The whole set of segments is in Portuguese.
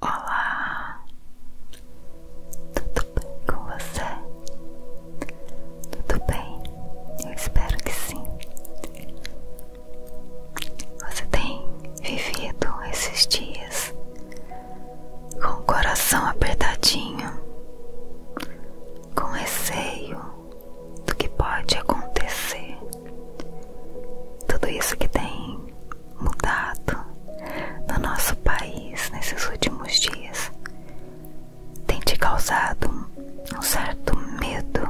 Olá, tudo bem com você? Tudo bem? Eu espero que sim. Você tem vivido esses dias com o coração apertadinho, com receio do que pode acontecer. Tudo isso que tem mudado no nosso país nesses últimos dias tem te causado um certo medo.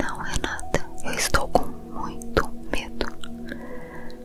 Não, Renata, é eu estou com muito medo.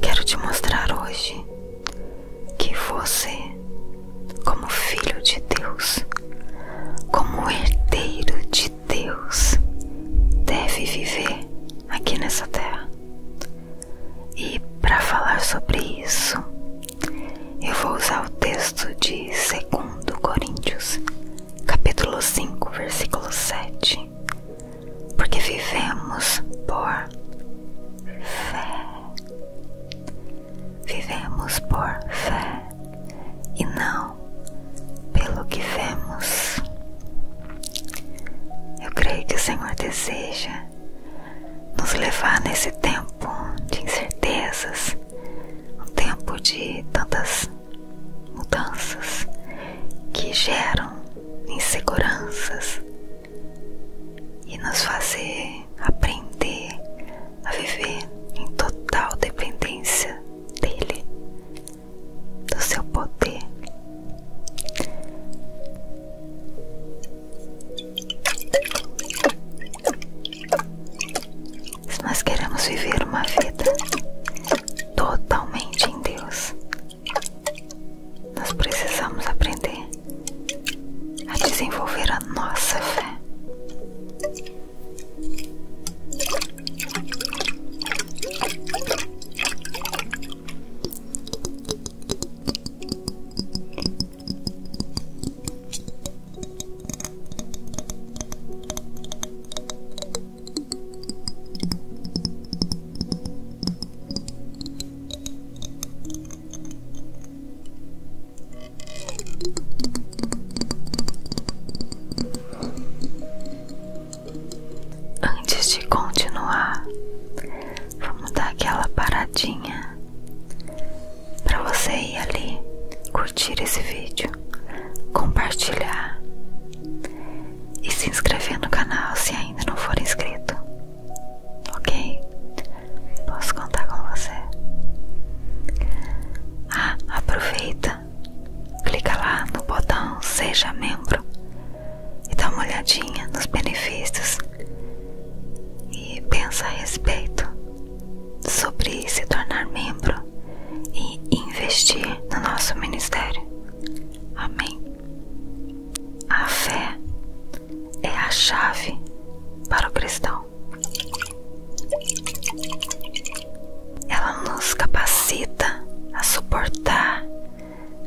Quero te mostrar hoje que você, como filho de Deus, como herdeiro de Deus, deve viver aqui nessa terra. E para falar sobre isso, eu vou usar o texto de 2 Coríntios, capítulo 5, versículo 7, porque vivemos por fé. Vivemos por fé e não pelo que vemos. Eu creio que o Senhor deseja nos levar nesse tempo de incertezas, um tempo de tantas mudanças que geram inseguranças, e nos fazer aprender a viver em total dependência dele, do seu poder. Se nós queremos viver uma vida totalmente em Deus, nós precisamos aprender a desenvolver a nossa fé. Antes de continuar, vamos dar aquela paradinha para você ir ali curtir esse vídeo, compartilhar e se inscrever no canal se ainda não for inscrito. Ok, posso contar com você. Ah, aproveita, clica lá no botão Seja Membro e dá uma olhadinha nos benefícios e pensa a respeito sobre se tornar membro e investir no nosso ministério. Amém. A fé é a chave para o cristão. Ela nos capacita a suportar,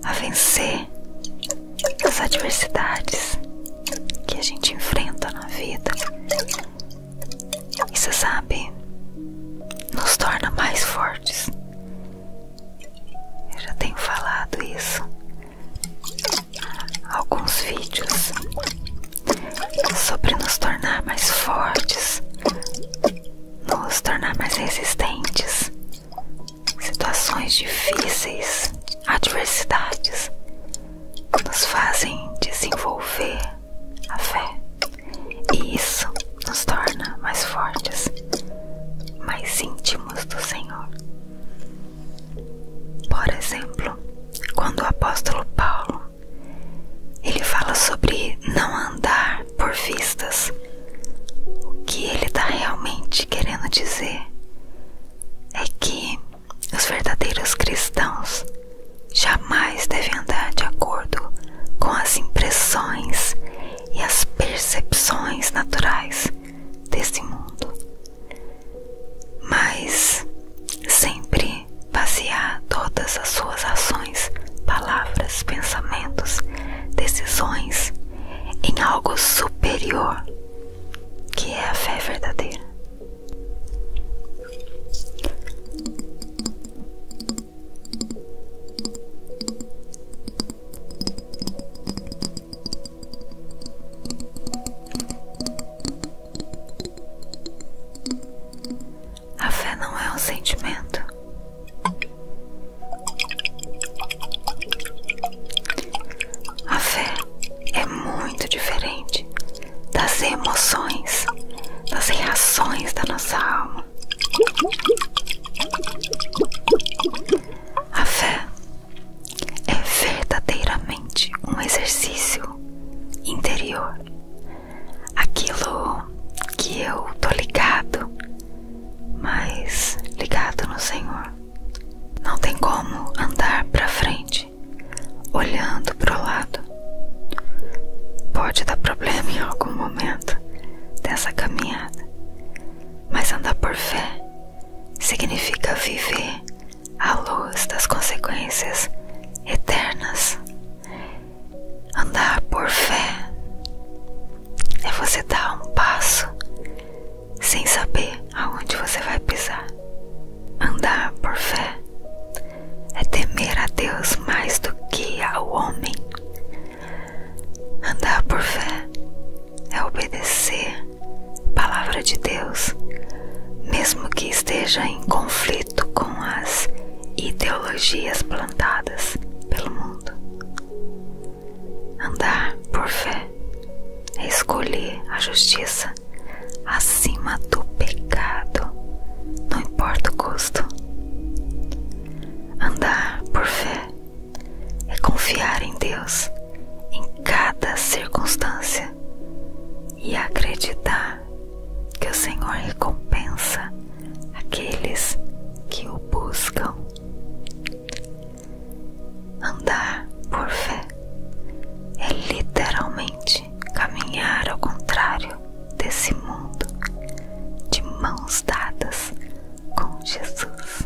a vencer as adversidades que a gente enfrenta na vida. E você sabe, nos torna mais fortes. Eu já tenho falado isso alguns vídeos sobre nos tornar mais fortes, nos tornar mais resistentes, situações difíceis, adversidades nos fazem desenvolver a fé e isso nos torna mais fortes, mais íntimos do Senhor. Por exemplo, quando o apóstolo Paulo ele fala sobre não andar por vistas, o que ele está realmente querendo dizer é que os verdadeiros cristãos jamais devem andar de acordo com as impressões e as percepções naturais desse mundo, mas sempre basear todas as suas ações, palavras, pensamentos, decisões em algo superior que é a fé verdadeira. A fé não é um sentimento, a fé é muito diferente das emoções, das reações da nossa alma. A fé é verdadeiramente um exercício interior. Aquilo que eu tô ligado, mas ligado no Senhor. Não tem como andar para frente olhando pro lado. Pode dar problema em algum momento dessa caminhada, mas andar por fé significa viver à luz das consequências eternas. Andar por fé é você dar um passo sem saber aonde você vai pisar. Andar por fé é temer a Deus mais do que ao homem. Andar por fé é obedecer palavra de Deus, mesmo que esteja em conflito com as ideologias plantadas pelo mundo. Andar por fé é escolher a justiça acima do pecado, não importa o custo. Andar por fé é confiar em Deus em cada circunstância e acreditar que o Senhor recompensa aqueles que o buscam. Andar por fé é literalmente caminhar ao contrário desse mundo, de mãos dadas com Jesus.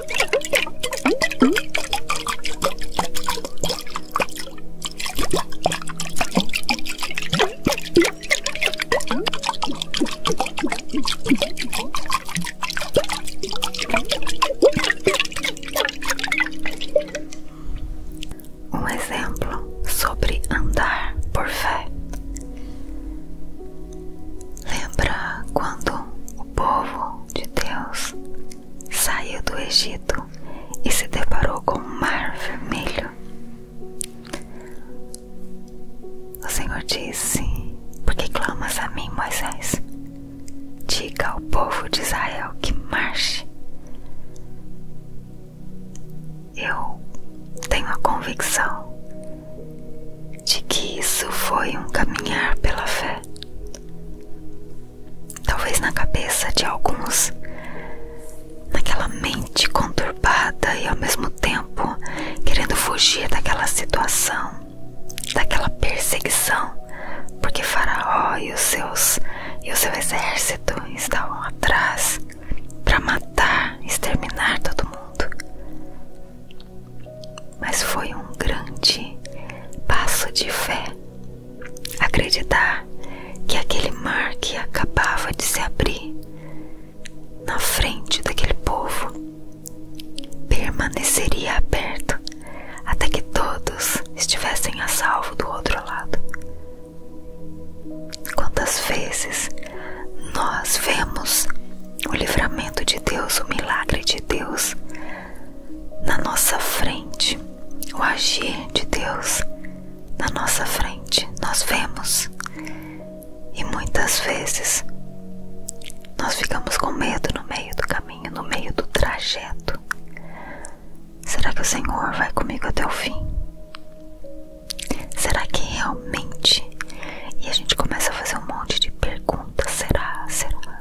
Um exemplo sobre andar por fé. Lembra quando o povo de Deus saiu do Egito e se deparou com um mar vermelho. O Senhor disse: porque clamas a mim, Moisés? Diga ao povo de Israel que marche. Eu tenho a convicção de que isso foi um caminhar pela fé talvez na cabeça de alguns, naquela mente conturbada e ao mesmo tempo querendo fugir daquela situação, daquela perseguição, porque Faraó e os seus e o seu exército estavam atrás para matar, exterminar todo mundo. Mas foi um grande passo de fé Acreditar que aquele mar que acabava de se abrir na frente daquele povo permaneceria aberto até que todos estivessem a salvo do outro lado. Quantas vezes nós vemos o livramento de Deus, o milagre de Deus na nossa frente, o agir de Deus na nossa frente. Nós vemos e muitas vezes nós ficamos com medo no meio do caminho, no meio do trajeto. Será que o Senhor vai comigo até o fim? Será que realmente? E a gente começa a fazer um monte de perguntas: será, será,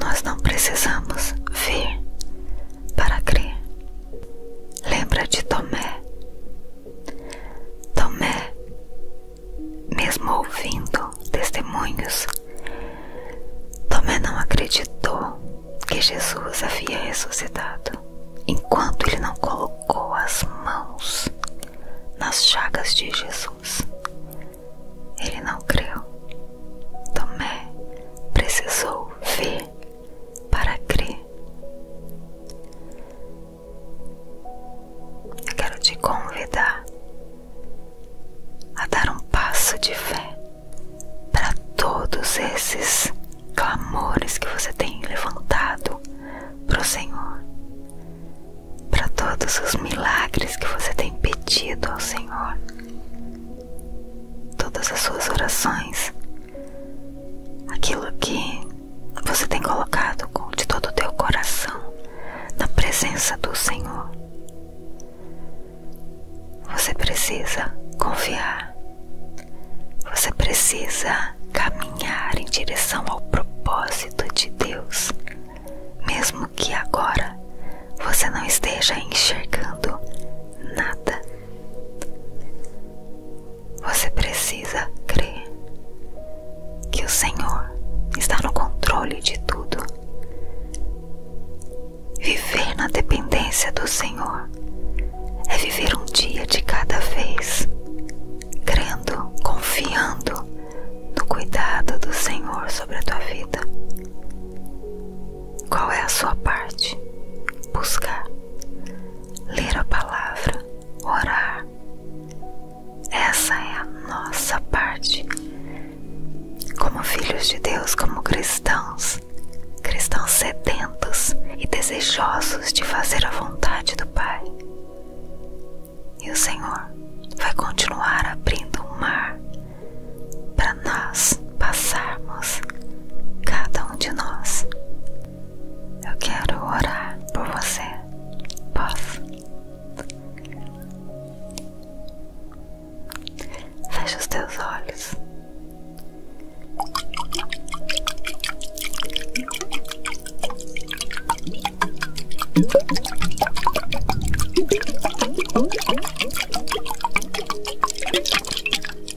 Nós não precisamos ver para crer Lembra de Tomé? Tomé, mesmo ouvindo testemunhos, Tomé não acreditou que Jesus havia ressuscitado enquanto ele não colocou as mãos nas chagas de Jesus. Ele não creu. Tomé precisou ver para crer. Eu quero te convidar a dar um passo de fé para todos esses clamores que você tem levantado para o Senhor, para todos os milagres que você tem pedido ao Senhor, todas as suas orações aquilo que você tem colocado de todo o teu coração na presença do Senhor. Você precisa confiar, você precisa caminhar em direção ao propósito de Deus, mesmo que agora você não esteja enxergando nada. Você precisa crer que o Senhor está no controle de tudo. Viver na dependência do Senhor é viver um dia de cada vez, crendo, confiando no cuidado do Senhor sobre a tua vida. Qual é a sua parte? Buscar ler a palavra, orar. Essa é a nossa parte. Como filhos de Deus, como cristãos, cristãos sedentos e desejosos de fazer a vontade do Pai. E o Senhor vai continuar abrindo um mar para nós passarmos, cada um de nós, eu quero orar por você. Posso? Fecha os teus olhos.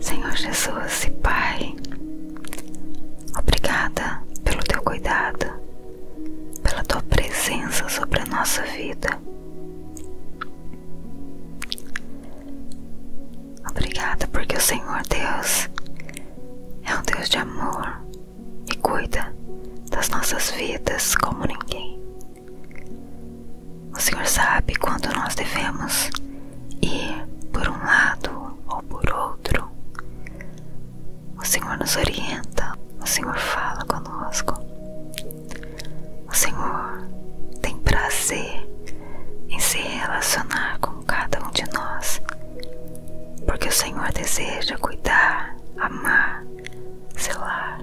Senhor Jesus e Pai, obrigada pelo teu cuidado, pela tua presença sobre a nossa vida. Obrigada porque o Senhor Deus é um Deus de amor e cuida das nossas vidas como ninguém. O Senhor sabe quando nós devemos e, por um lado ou por outro, o Senhor nos orienta, o Senhor fala conosco. O Senhor tem prazer em se relacionar com cada um de nós, porque o Senhor deseja cuidar, amar, selar.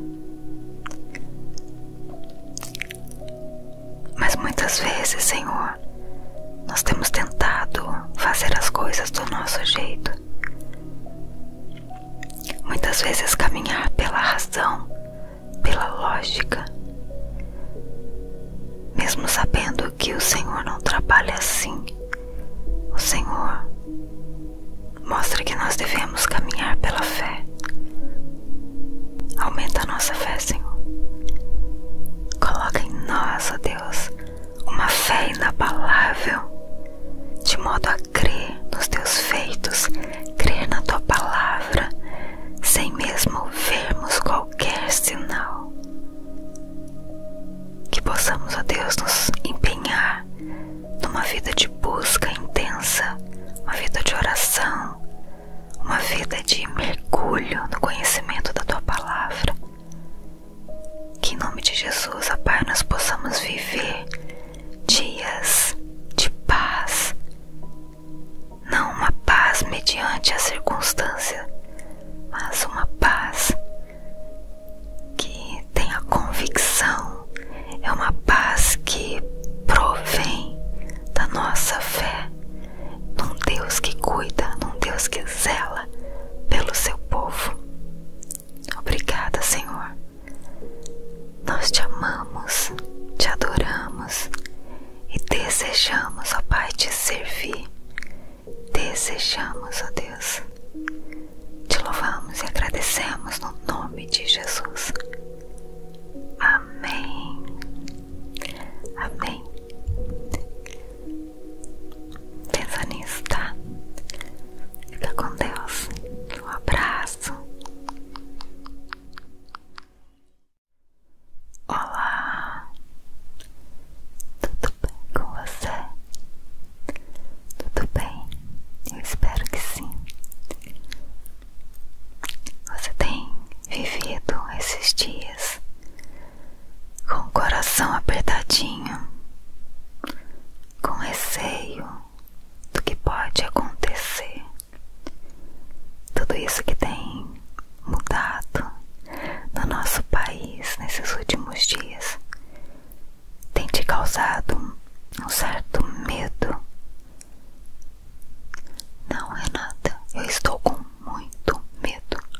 Mas muitas vezes, Senhor, nós temos tentado fazer as coisas do nosso jeito. Muitas vezes caminhar pela razão, pela lógica. Mesmo sabendo que o Senhor não trabalha assim, o Senhor mostra que nós devemos caminhar pela fé. Aumenta a nossa fé, Senhor. Coloque em nós, ó Deus, uma fé inabalável, de modo a crer nos teus feitos, crer na tua palavra, sem mesmo vermos qualquer sinal. Que possamos, ó Deus, nos empenhar numa vida de busca intensa, uma vida de oração, uma vida de mergulho no conhecimento da tua palavra. Que em nome de Jesus, ó Pai, nós possamos viver dias de paz, não uma paz mediante a circunstância, mas uma paz que tem a convicção, é uma paz que provém da nossa fé, num Deus que cuida, num Deus que zela pelo seu povo. Obrigada, Senhor. Nós te amamos, te adoramos e desejamos, ó Pai, te servir. Desejamos, ó Deus. Te louvamos e agradecemos no nome de Jesus. Amém. Amém. Pensa nisso, tá? Fica com Deus. Um abraço. Olá. Tudo bem com você? Tudo bem? Eu espero que sim. Você tem vivido esses dias com o coração apertadinho, com receio do que pode acontecer. Tudo isso que tem mudado no nosso país nesses últimos dias tem te causado um certo medo. Não, Renata, é eu estou com muito medo.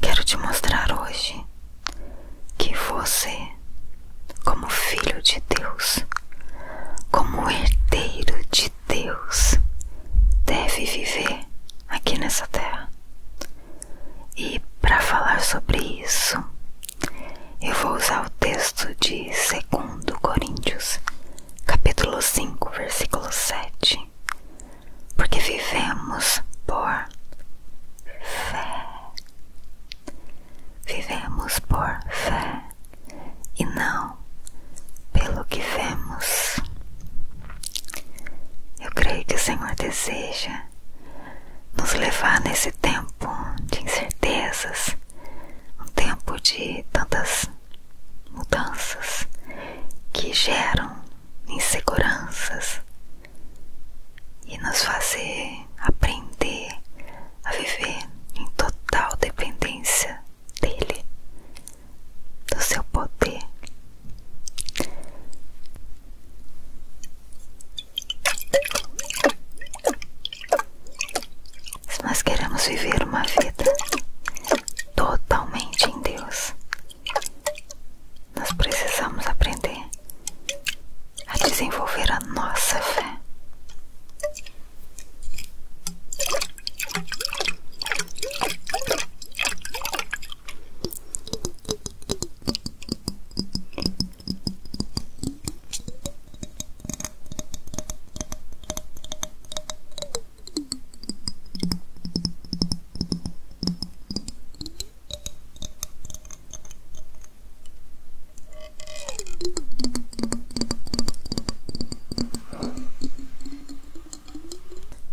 Quero te mostrar hoje que você, como filho de Deus, como herdeiro de Deus, deve viver aqui nessa terra. E para falar sobre isso, eu vou usar o texto de 2 Coríntios, capítulo 5, versículo 7, porque vivemos por fé. Vivemos por fé e não pelo que vemos. Eu creio que o Senhor deseja nos levar nesse tempo de incertezas, um tempo de tantas mudanças que geram inseguranças e nos fazer aprender a viver em total dependência dele, do seu poder. Se nós queremos viver uma vida totalmente em Deus, nós precisamos aprender a desenvolver a nossa fé.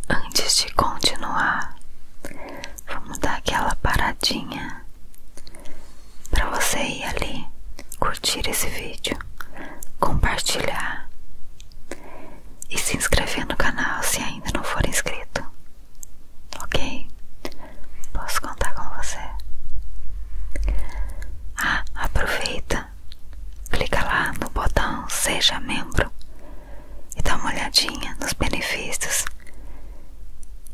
Antes de continuar, vamos dar aquela paradinha para você ir ali curtir esse vídeo, compartilhar e se inscrever no canal se ainda não for inscrito. Ok? Posso contar com você? Ah, aproveita, clica lá no botão Seja Membro e dá uma olhadinha nos benefícios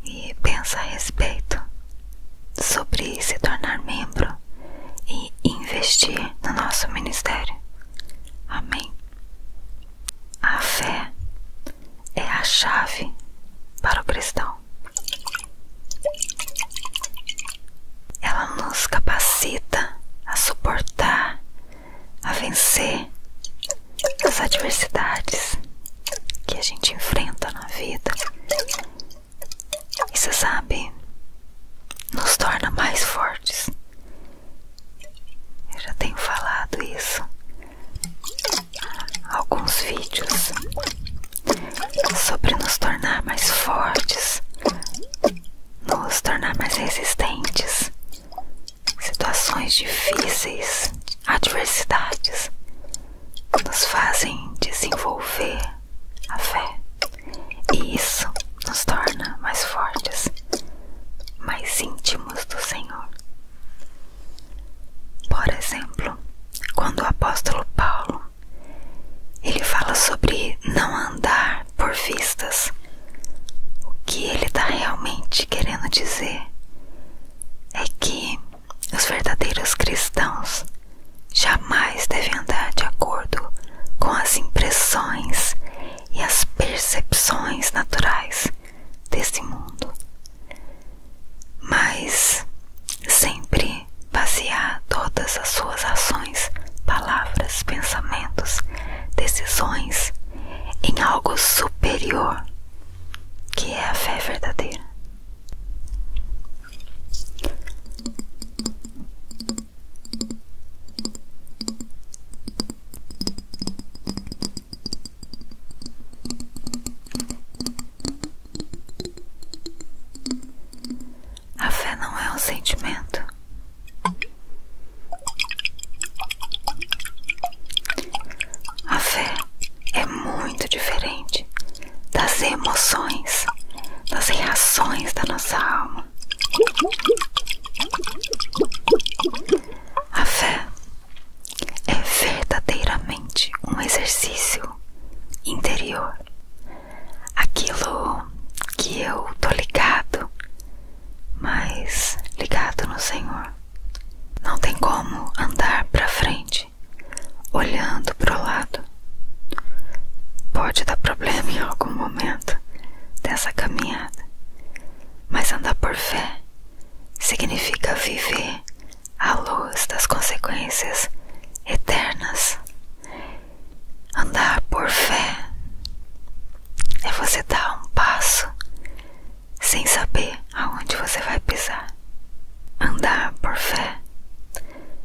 e pensa a respeito sobre se tornar membro e investir no nosso ministério. Amém. A fé é a chave para o cristão. Ela nos capacita a suportar, a vencer as adversidades que a gente enfrenta na vida. E você sabe, nos torna mais fortes eu já tenho falado isso. Alguns vídeos sobre nos tornar mais fortes, nos tornar mais resistentes, situações difíceis, adversidades, nos fazem desenvolver a fé e isso nos torna mais fortes mais íntimos do Senhor. Por exemplo, quando o apóstolo Paulo ele fala sobre não andar por vistas, o que ele está realmente querendo dizer é que os verdadeiros cristãos jamais devem andar de acordo com as impressões e as percepções naturais desse mundo, mas sempre basear todas as suas ações, palavras, pensamentos, decisões em algo superior que é a fé verdadeira. A fé não é um sentimento. A fé é muito diferente das emoções, das reações da nossa alma. A fé é verdadeiramente um exercício interior. Aquilo que eu tô ligado, mas ligado no Senhor. Não tem como andar para frente olhando pro lado. Pode dar problema em algum momento dessa caminhada, mas andar por fé significa viver à luz das consequências eternas. Andar por fé é você dar um passo sem saber aonde você vai pisar. Andar por fé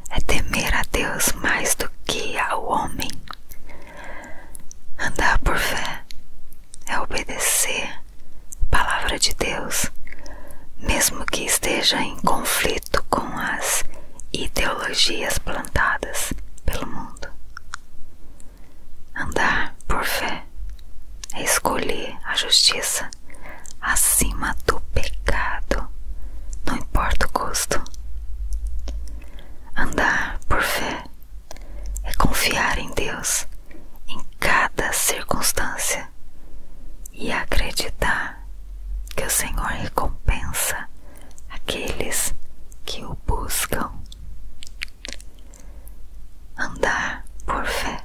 é temer a Deus mais do que ao homem. Andar por fé é obedecer a palavra de Deus, mesmo que esteja em conflito com as ideologias plantadas pelo mundo. Andar por fé é escolher a justiça acima do pecado, não importa o custo. Andar por fé é confiar em Deus em cada circunstância e acreditar que o Senhor recompensa aqueles que o buscam. Andar por fé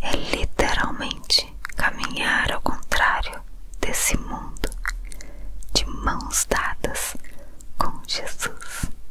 é literalmente caminhar ao contrário desse mundo, de mãos dadas com Jesus.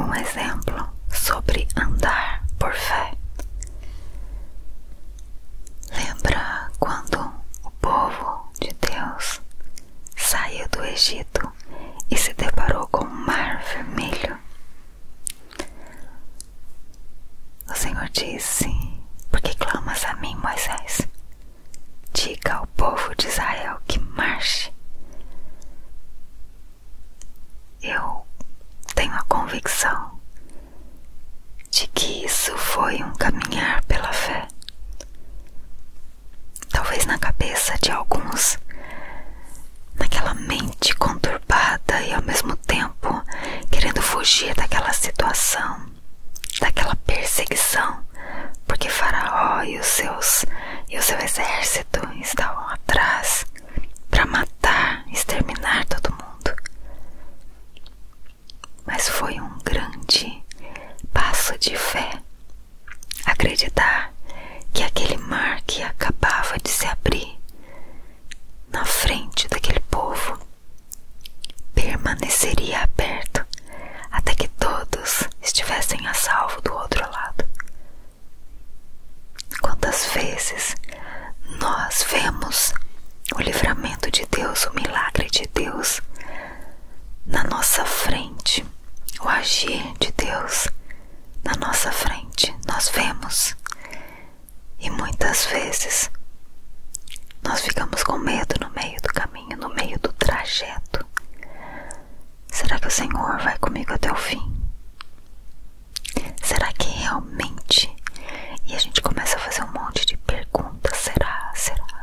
Um exemplo sobre andar por fé. Lembra quando o povo de Deus saiu do Egito e se deparou com o mar vermelho. O Senhor disse: Por que clamas a mim, Moisés? Diga ao povo de Israel que marche. Eu tenho a convicção de que isso foi um caminhar pela fé. Talvez na cabeça de alguns, naquela mente conturbada e ao mesmo tempo querendo fugir daquela situação, daquela perseguição, porque Faraó e os seus e o seu exército estavam atrás para matar, exterminar todo mundo mas foi um grande passo de fé acreditar que aquele mar que acabava de se abrir na frente daquele povo permaneceria aberto até que todos estivessem a salvo do outro lado. Quantas vezes nós vemos o livramento de Deus, o milagre de Deus na nossa frente, o agir de Deus na nossa frente. Nós vemos e muitas vezes nós ficamos com medo no meio do caminho, no meio do trajeto. Será que o Senhor vai comigo até o fim? Será que realmente? E a gente começa a fazer um monte de perguntas: será, será,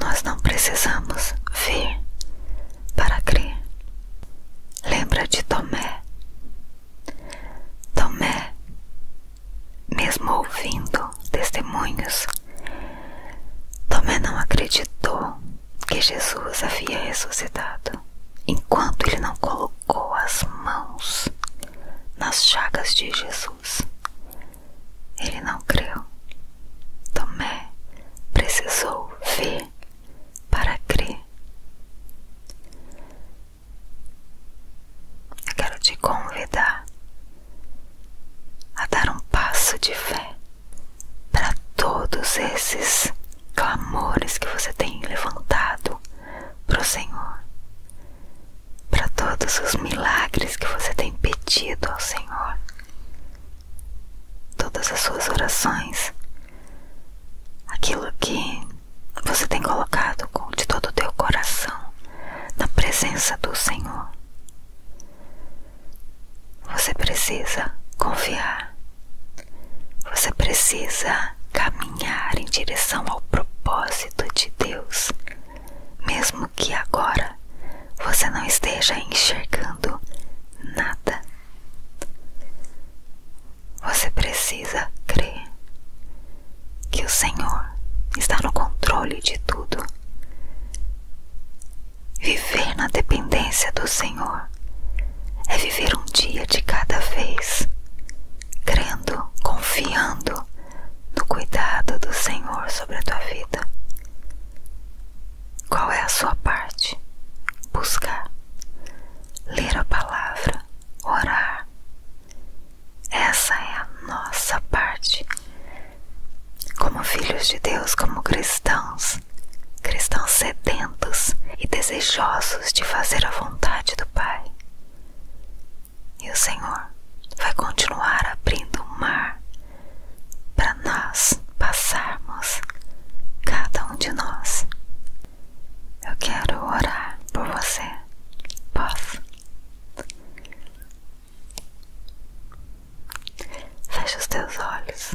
Nós não precisamos ver para crer. Lembra de Tomé? Tomé, mesmo ouvindo testemunhos, Tomé não acreditou que Jesus havia ressuscitado enquanto ele não colocou as mãos nas chagas de Jesus. Ele não creu. Tomé precisou ver para crer. Eu quero te convidar a dar um passo de fé para todos esses clamores que você tem levantado para o Senhor, para todos os milagres que você tem pedido ao Senhor, todas as suas orações, aquilo que você tem colocado de todo o teu coração na presença do Senhor. Você precisa confiar, você precisa caminhar em direção ao propósito de Deus, mesmo que agora você não esteja enxergando nada você precisa crer que o Senhor está no controle de tudo. Viver na dependência do Senhor é viver um dia de cada vez, crendo, confiando no cuidado do Senhor sobre a tua vida. Qual é a sua parte? Buscar, ler a palavra, orar. Essa é a nossa parte. Como filhos de Deus, como cristãos, cristãos sedentos e desejosos de fazer a vontade do Pai. E o Senhor vai continuar abrindo o mar para nós passarmos, cada um de nós. Eu quero orar por você. Posso? Fecha os teus olhos.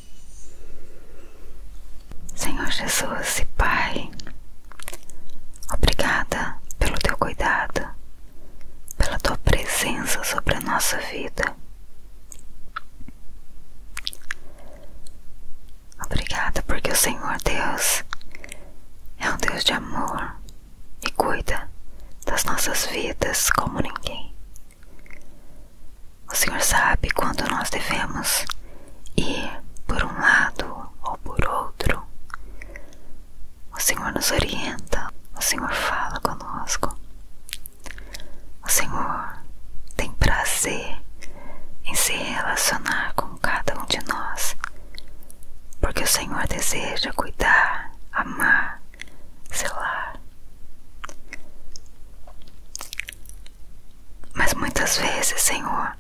Senhor Jesus e Pai, obrigada pelo teu cuidado, pela tua presença sobre a nossa vida. Obrigada porque o Senhor Deus é um Deus de amor e cuida das nossas vidas como ninguém. O Senhor sabe quando nós devemos ir por um lado ou por outro. O Senhor nos orienta, o Senhor fala conosco. O Senhor tem prazer em se relacionar com cada um de nós, porque o Senhor deseja cuidar, amar, selar. Mas muitas vezes, Senhor,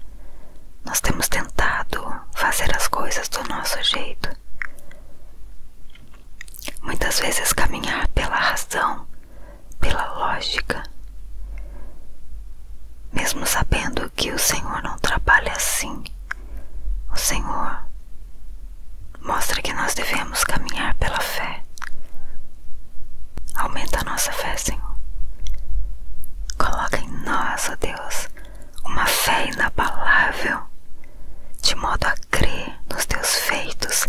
nós temos tentado fazer as coisas do nosso jeito. Muitas vezes caminhar pela razão, pela lógica. Mesmo sabendo que o Senhor não trabalha assim, o Senhor mostra que nós devemos caminhar pela fé. Aumenta a nossa fé, Senhor. Coloca em nós, ó Deus, uma fé inabalável, de modo a crer nos teus feitos,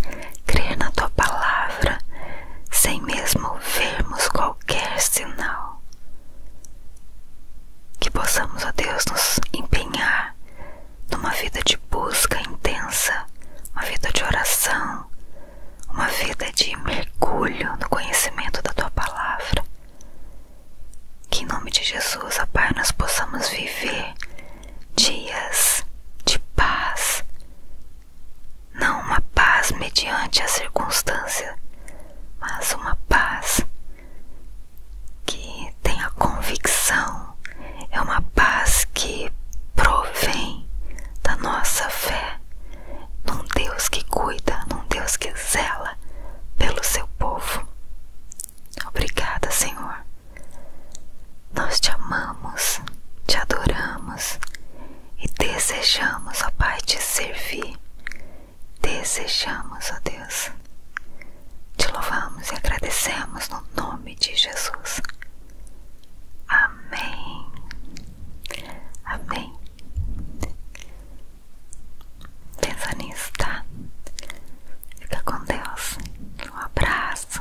crer na tua palavra, sem mesmo vermos qualquer sinal. Que possamos, ó Deus, nos empenhar numa vida de busca intensa, uma vida de oração, uma vida de mergulho no conhecimento da tua palavra. Que em nome de Jesus, ó Pai, nós possamos viver dias de paz, não uma paz mediante a circunstância, mas uma paz que tem a convicção, é uma paz que provém da nossa fé num Deus que cuida, num Deus que zela pelo seu povo. Obrigada, Senhor. Nós te amamos, te adoramos e desejamos, ó Pai, te servir. Desejamos, ó Deus. Te louvamos e agradecemos no nome de Jesus. Amém. Amém? Pensa nisso, tá? Fica com Deus. Um abraço.